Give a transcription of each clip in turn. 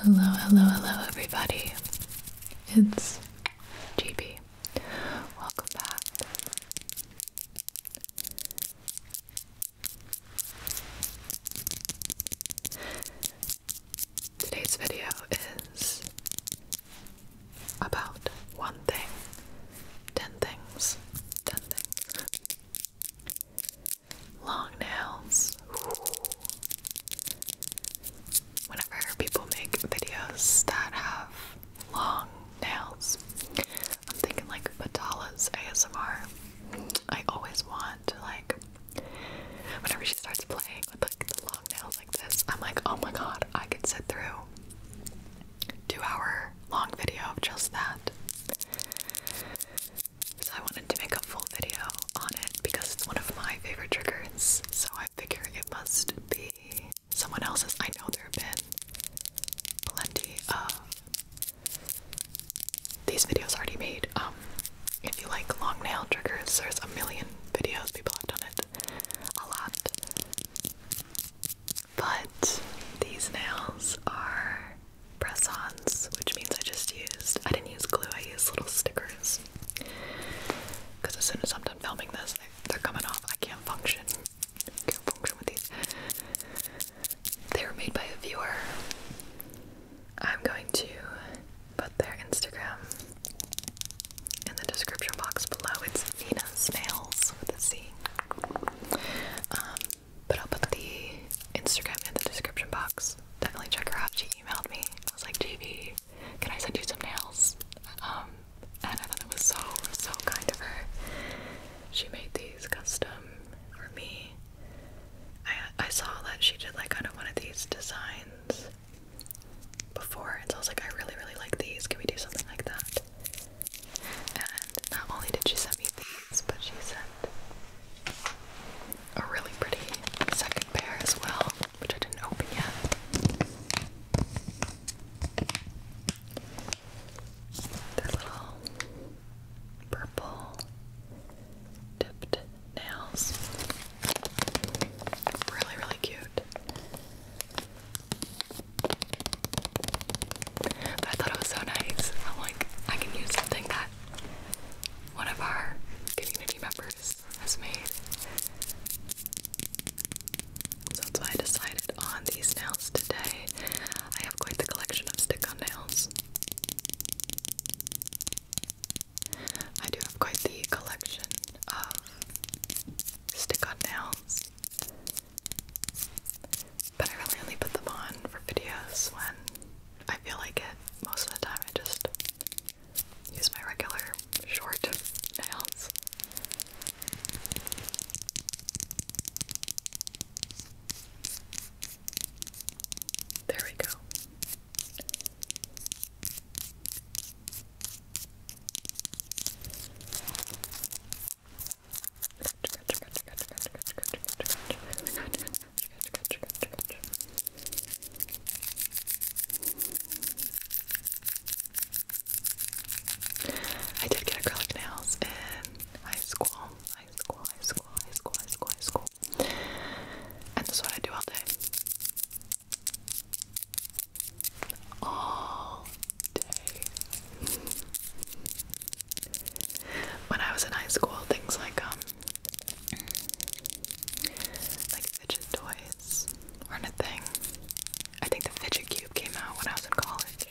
Hello, hello, hello, everybody. It's GB. Welcome back. Today's video is about one thing, ten things, ten things long nails. Whenever people make videos that have long nails, I'm thinking like Batala's ASMR. I always want like whenever she starts playing with like the long nails like this, I'm like, oh my god, I could sit through two hour long video of just that. So I wanted to make a full video on it because it's one of my favorite triggers. So I figure it must be someone else's. I know there have been plenty of these videos already made. Um, if you like long nail triggers, there's a million videos people have done it a lot. But these nails are press-ons, which means I just used, I didn't use glue, I used little stickers. Because as soon as I'm done filming this, they're coming off. I can't function. can't function with these. They were made by a viewer. I'm going to put their Instagram in the description box below. It's Nina's Snails with a C. Um, but I'll put the Instagram in the description box. Definitely check her out she emailed me. I was like, JV, can I send you some nails? Um, and I thought that was so, so kind of her. She made these custom for me. I, I saw that she did like kind of one of these designs before, and so I was like, I really, really like these. Can we do something like that? And not only did she send me these, but she sent a really pretty second pair as well, which I didn't open yet. They're little purple dipped nails. Really, really cute. I thought it was so nice. I'm like, I can use something that one of our community members has made. that's why I decided on these nails today. I have quite the collection of stick on nails. I do have quite the collection of stick on nails. But I really only put them on for videos when I feel like it most of the time. I just use my regular short nails. There we go. Good, good, good, good. I did get acrylic nails in high school, high school, high school, high school, high school, high school. And this is what I do all day. All day. When I was in high school, things like um like fidget toys weren't a thing. I think the fidget cube came out when I was in college.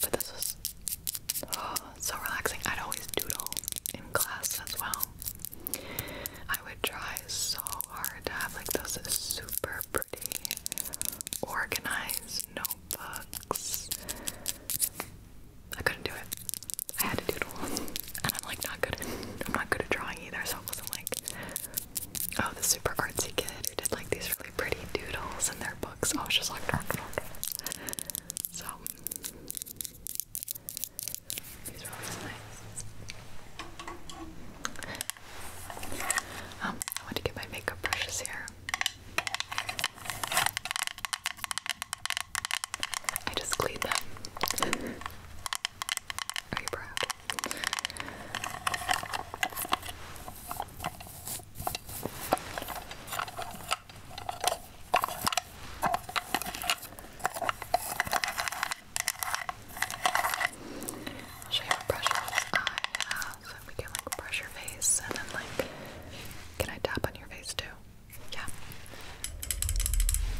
But this was oh, so relaxing. I'd always doodle in class as well. I would try so hard to have like those super pretty organized notebooks. I couldn't do it. I had to doodle, and I'm like not good. At, I'm not good at drawing either, so I wasn't like, oh, the super artsy kid who did like these really pretty doodles in their books. I was just like, dark, dark. So these are always nice. Um, I want to get my makeup brushes here. I just cleaned them. Are you proud? I'll I have so we can like brush your face and then like can I tap on your face too? Yeah.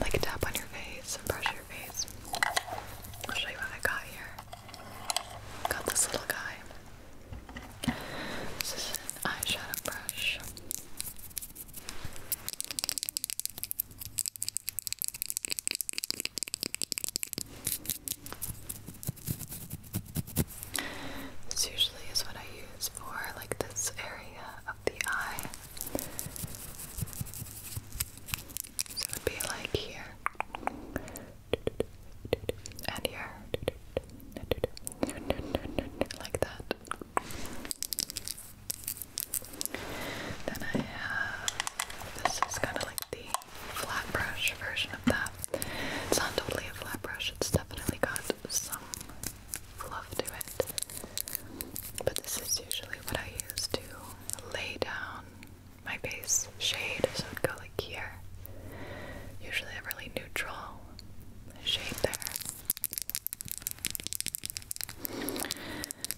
Like a tap on your face and brush your face. I'll show you what I got here. Got this little guy. This is an eyeshadow brush. This usually is what I use is like this area of the eye. So it would be like here and here, like that. Then I have this is kind of like the flat brush version of that. It's not totally a flat brush, it's definitely got some fluff to it. But this is usually what I use to lay down my base shade, so it'd go like here. Usually a really neutral shade there.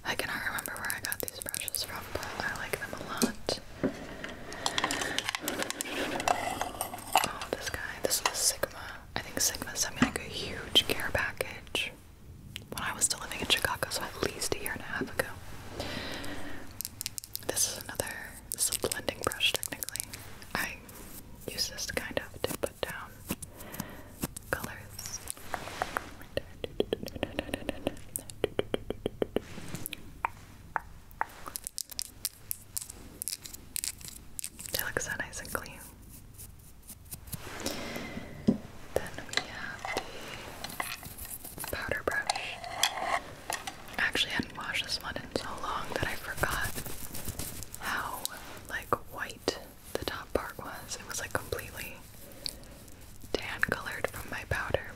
I cannot remember where I got these brushes from, but I like them a lot. Oh, this guy. This is Sigma I think Sigma sent me like a huge care package when I was still living in Chicago, so at least a year and a half ago. This is another, this is a blending brush technically. I use this kind of to put down colors. It looks so nice and clean. Then we have the powder brush. I hadn't washed this one in so long that I forgot how like white the top part was. It was like completely tan colored from my powder.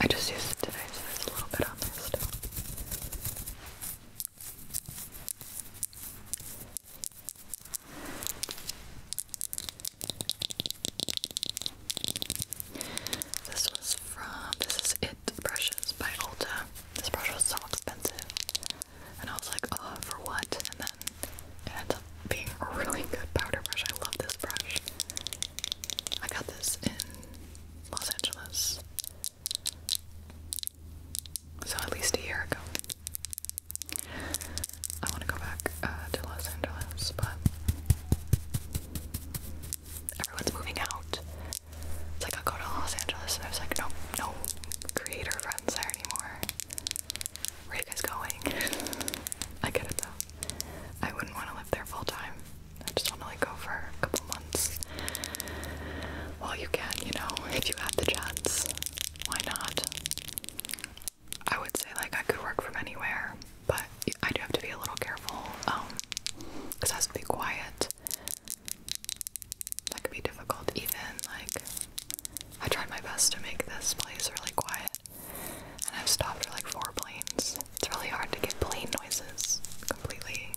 I just used it today, so there's a little bit on there still. This was from this is it brushes by Ulta. This brush was so expensive. And I was like, oh for what? And then it ends up being a really good powder brush. I love this brush. I got this in Los Angeles. So at least a year ago. I want to go back uh, to Los Angeles, but everyone's moving out. It's like i go to Los Angeles, and I was like, no, no creator friends there anymore. Where you guys going? I get it though. I wouldn't want to live there full time. I just want to like go for a couple couple well, you can, you know, if you have the chance. Why not? I would say, like, I could work from anywhere, but I do have to be a little careful because um, it has to be quiet. That could be difficult, even. Like, I tried my best to make this place really quiet, and I've stopped for like four planes. It's really hard to get plane noises completely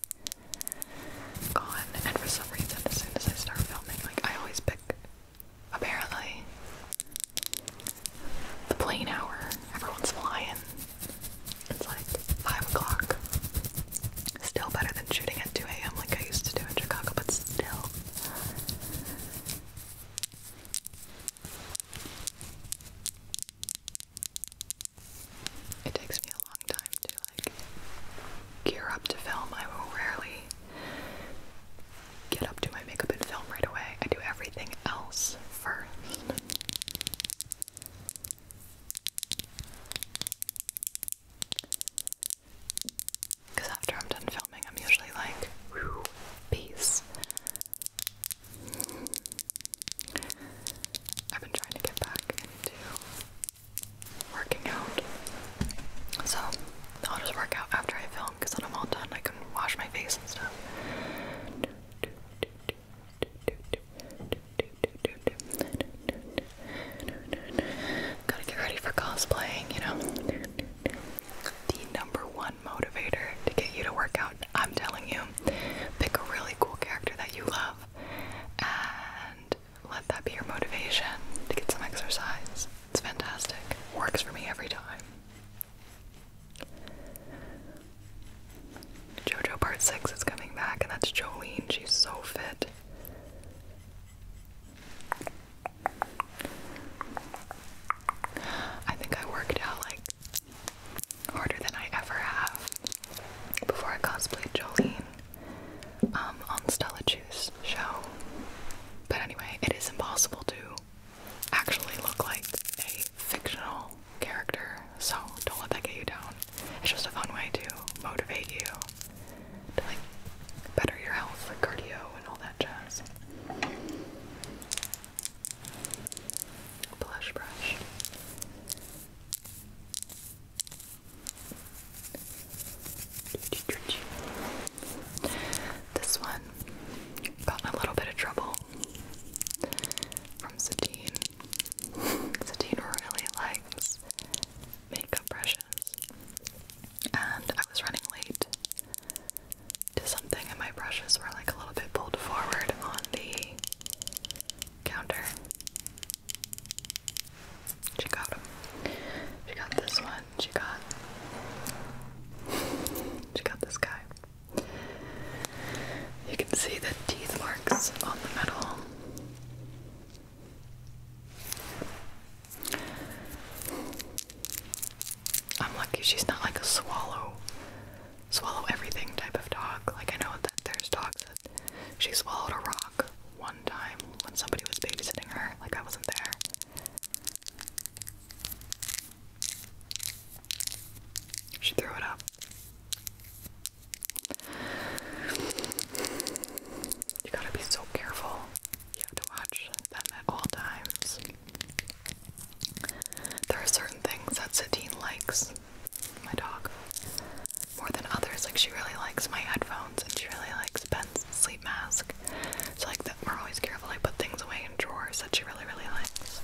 gone, and for some reason, as soon as I start filming, like, I always pick, apparently, the plane hour. Everyone's flying. It's like 5 o'clock. Still better than shooting at 2 a.m. like I used to do in Chicago, but still. It takes me a long time to like gear up to film. I will rarely get up to my makeup and film right away. I do everything else first. Because after I'm done filming, I'm usually like, peace. I've been trying to get back into working out. So I'll just work out after I film because then I'm all done. I can wash my face and stuff. Gotta get ready for cosplaying, you know? The number one motivator to get you to work out, I'm telling you, pick a really cool character that you love and let that be your motivation to get some exercise. It's fantastic. Works for me every time. JoJo Part 6 is coming back, and that's Jolene. She's so fit. I think I worked out like harder than I ever have before I cosplayed Jolene. Um, on Stella Chu's show. But anyway, it is impossible to actually look like a fictional character, so don't let that get you down. It's just a fun way to motivate you to like better your health, like cardio and all that jazz. Blush brush. This one got in a little bit of trouble from Satine. Satine really likes makeup brushes. And I was running late to something and my brushes were like a little bit pulled forward on the counter. She got them. She got this one. She got. She got this guy. You can see the teeth marks on the metal. I'm lucky she's not like a swallow, swallow everything type of dog. Like I know that there's dogs that she swallowed a rock one time when somebody was babysitting her, like I wasn't there. She threw it up. You gotta be so careful. You have to watch them at all times. There are certain things that Satine likes, my dog, more than others. Like, she really likes my headphones and she really likes Ben's sleep mask. So, like, that we're always careful. I put things away in drawers that she really, really likes.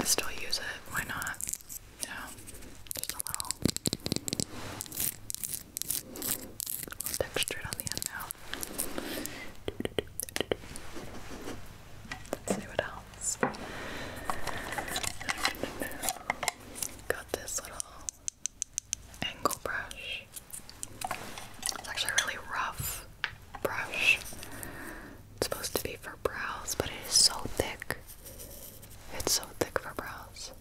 I still use it, why not? Yeah, just a little, little textured on the end now. Let's see what else. Got this little angle brush. It's actually a really rough brush. It's supposed to be for brows, but it is so thick. It's so thick for brows.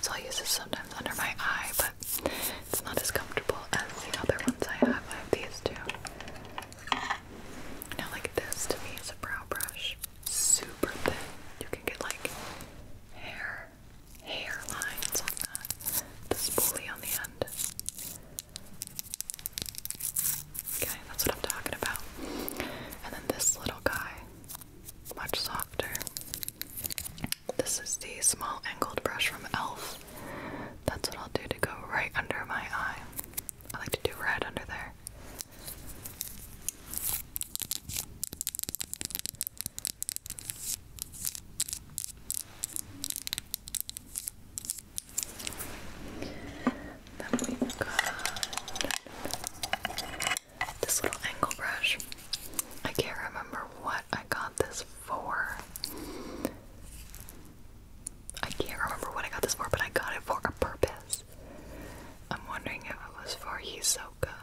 So I use this sometimes under my eye, but it's not as comfortable as the other ones I have. I have these two. Now, like this to me is a brow brush, super thin. You can get like hair, hair lines on that. The spoolie on the end. Okay, that's what I'm talking about. And then this little guy, much softer. This is the small angled brush from e.l.f. That's what I'll do to go right under my eye. I like to do red under there. Then we got this little angle brush. I can't remember what I got this for. I can't remember what I got this for, but I got it for a purpose. I'm wondering if it was for Hisoka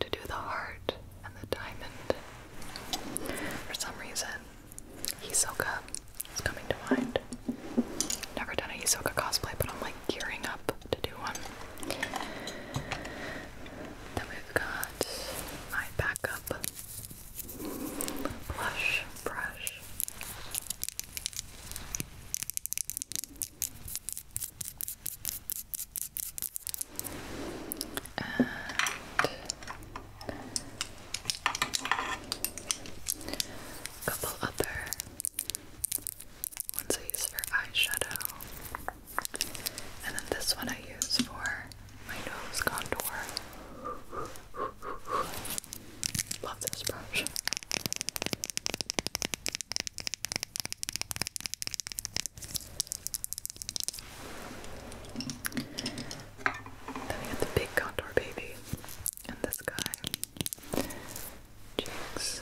to do the heart and the diamond. For some reason, Hisoka is coming to mind. Never done a Hisoka cosplay, but I'm like gearing up to do one. Then we've got my backup blush brush. And couple other ones I use for eyeshadow. And then this one I use for my nose contour. Love this brush. Then we got the big contour baby and this guy. Cheeks,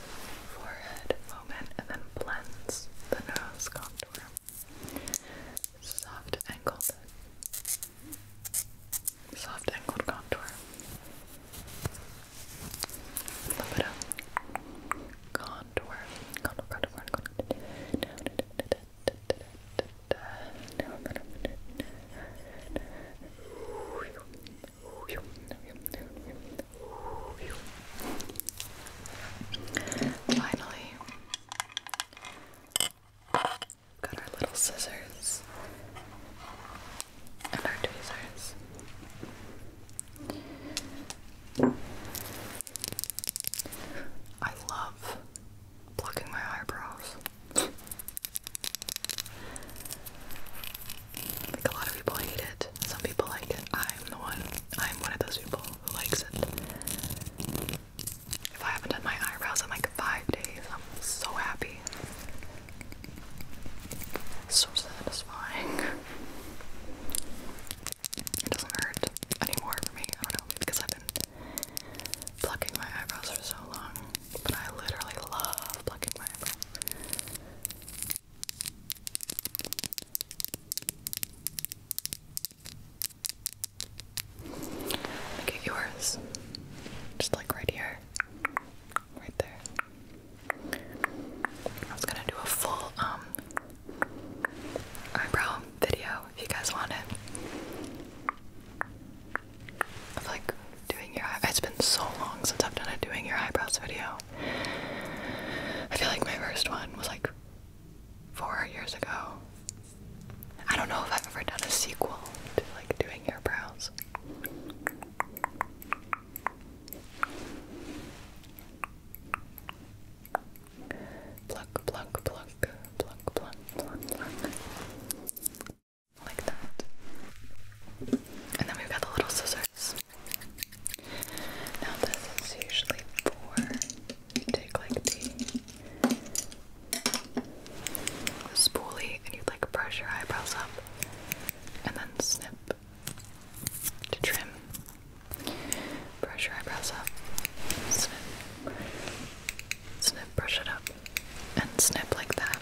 forehead moment, and then blends the nose contour. Soft angled. Soft angled contour. A little bit of contour. Contour, contour, contour. Finally, got our little scissors and our tweezers. I love plucking my eyebrows. Like a lot of people hate it. Some people like it. I'm the one. I'm one of those people who likes it. If I haven't done my eyebrows in like five days, I'm so happy. So satisfying. It doesn't hurt anymore for me. because I've been plucking my eyebrows for so long. But I literally love plucking my eyebrows. Look at yours. Just like right here. Right there. I was gonna do a full um eyebrow video if you guys want it of like doing your it's been so long since I've done a doing your eyebrows video. I feel like my first one was like four years ago. I don't know if I've ever done a sequel to like doing your brows. Pluck, pluck, pluck, pluck, pluck, pluck, pluck like that. And then we've got the little scissors. Now this is usually for take like the spoolie and you like brush your eyebrows up and then snip to trim. Brush your eyebrows up, snip, snip, brush it up, and snip like that.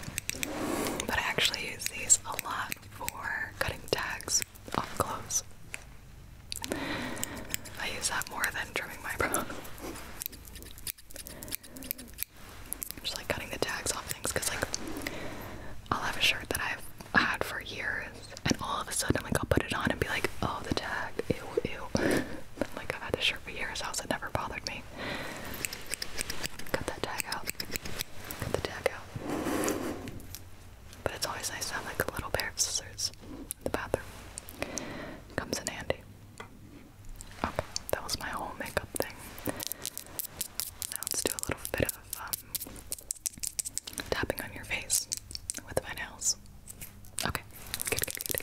But I actually use these a lot for cutting tags off clothes. I use that more than trimming my brow. Just like cutting the tags off things because like I'll have a shirt that I've had for years and all of a sudden like I'll put it on and be like, oh the tag, ew ew. like I've had this shirt for years, how's it never bothered me? Cut that tag out. Cut the tag out. But it's always nice to have like a little pair of scissors in the bathroom. Comes in handy. Okay, that was my whole makeup thing. Now let's do a little bit of um, tapping on your face with my nails. Okay, good, good, good. good.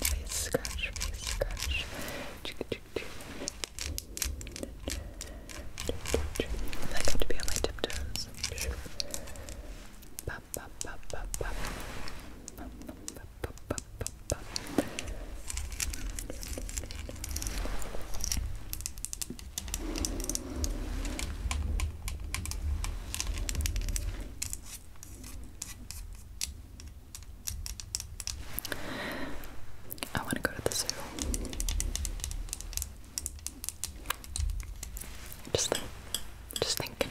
Face scratch, face scratch. I got to be on my tiptoes. Pop, pop, pop, pop, pop. Pop, pop, pop, pop, pop. Pop, I want to go to the zoo. Just, th just thinking.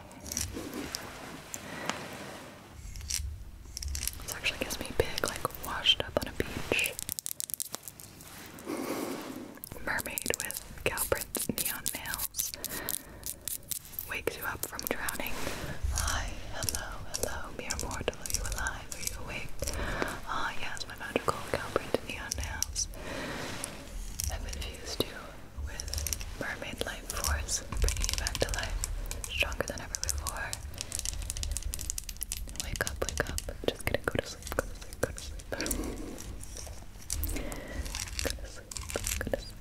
this actually gives me big, like, washed up on a beach. Mermaid with cow print neon nails. Wakes you up from drowning. Hi, hello, hello, mere mortal, you alive? Are you awake? Ah, yes, my magical cow neon nails have infused you with mermaid life force bringing you back to life stronger than ever before. Wake up, wake up. Just gonna go to sleep, go to sleep, go to sleep. go to sleep, go to sleep, go to sleep,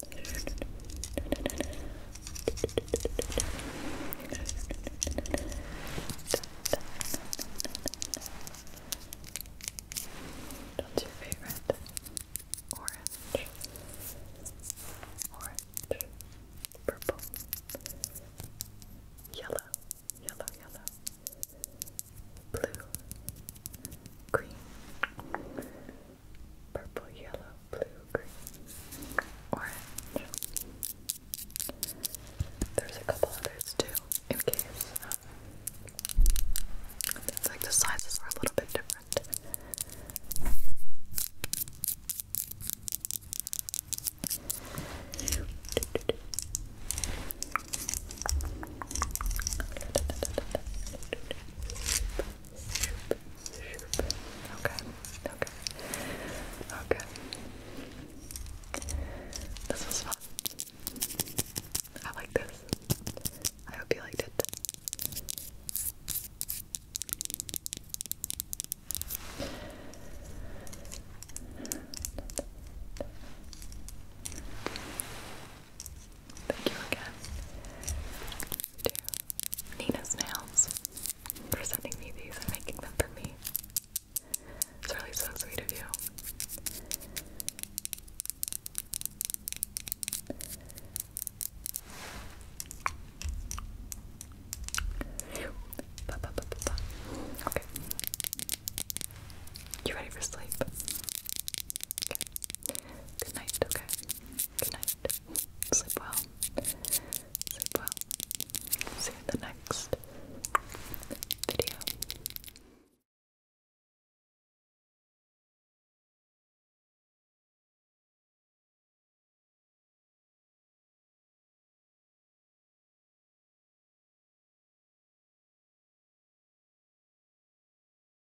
that's your favorite. Orange. Orange. Purple. Yellow. Yellow, yellow. Blue. Green purple, yellow, blue, green, orange. There's a couple others too, in case um, it's like the sizes are a little bit different. Okay, okay, okay. This was fun. I like this. I hope you liked it. Thank you again Nina's Nails for sending me these and making them for me. It's really so sweet of you. Okay. You ready for sleep? Good night, okay? Good night. Sleep well. Sleep well. See you in the next video.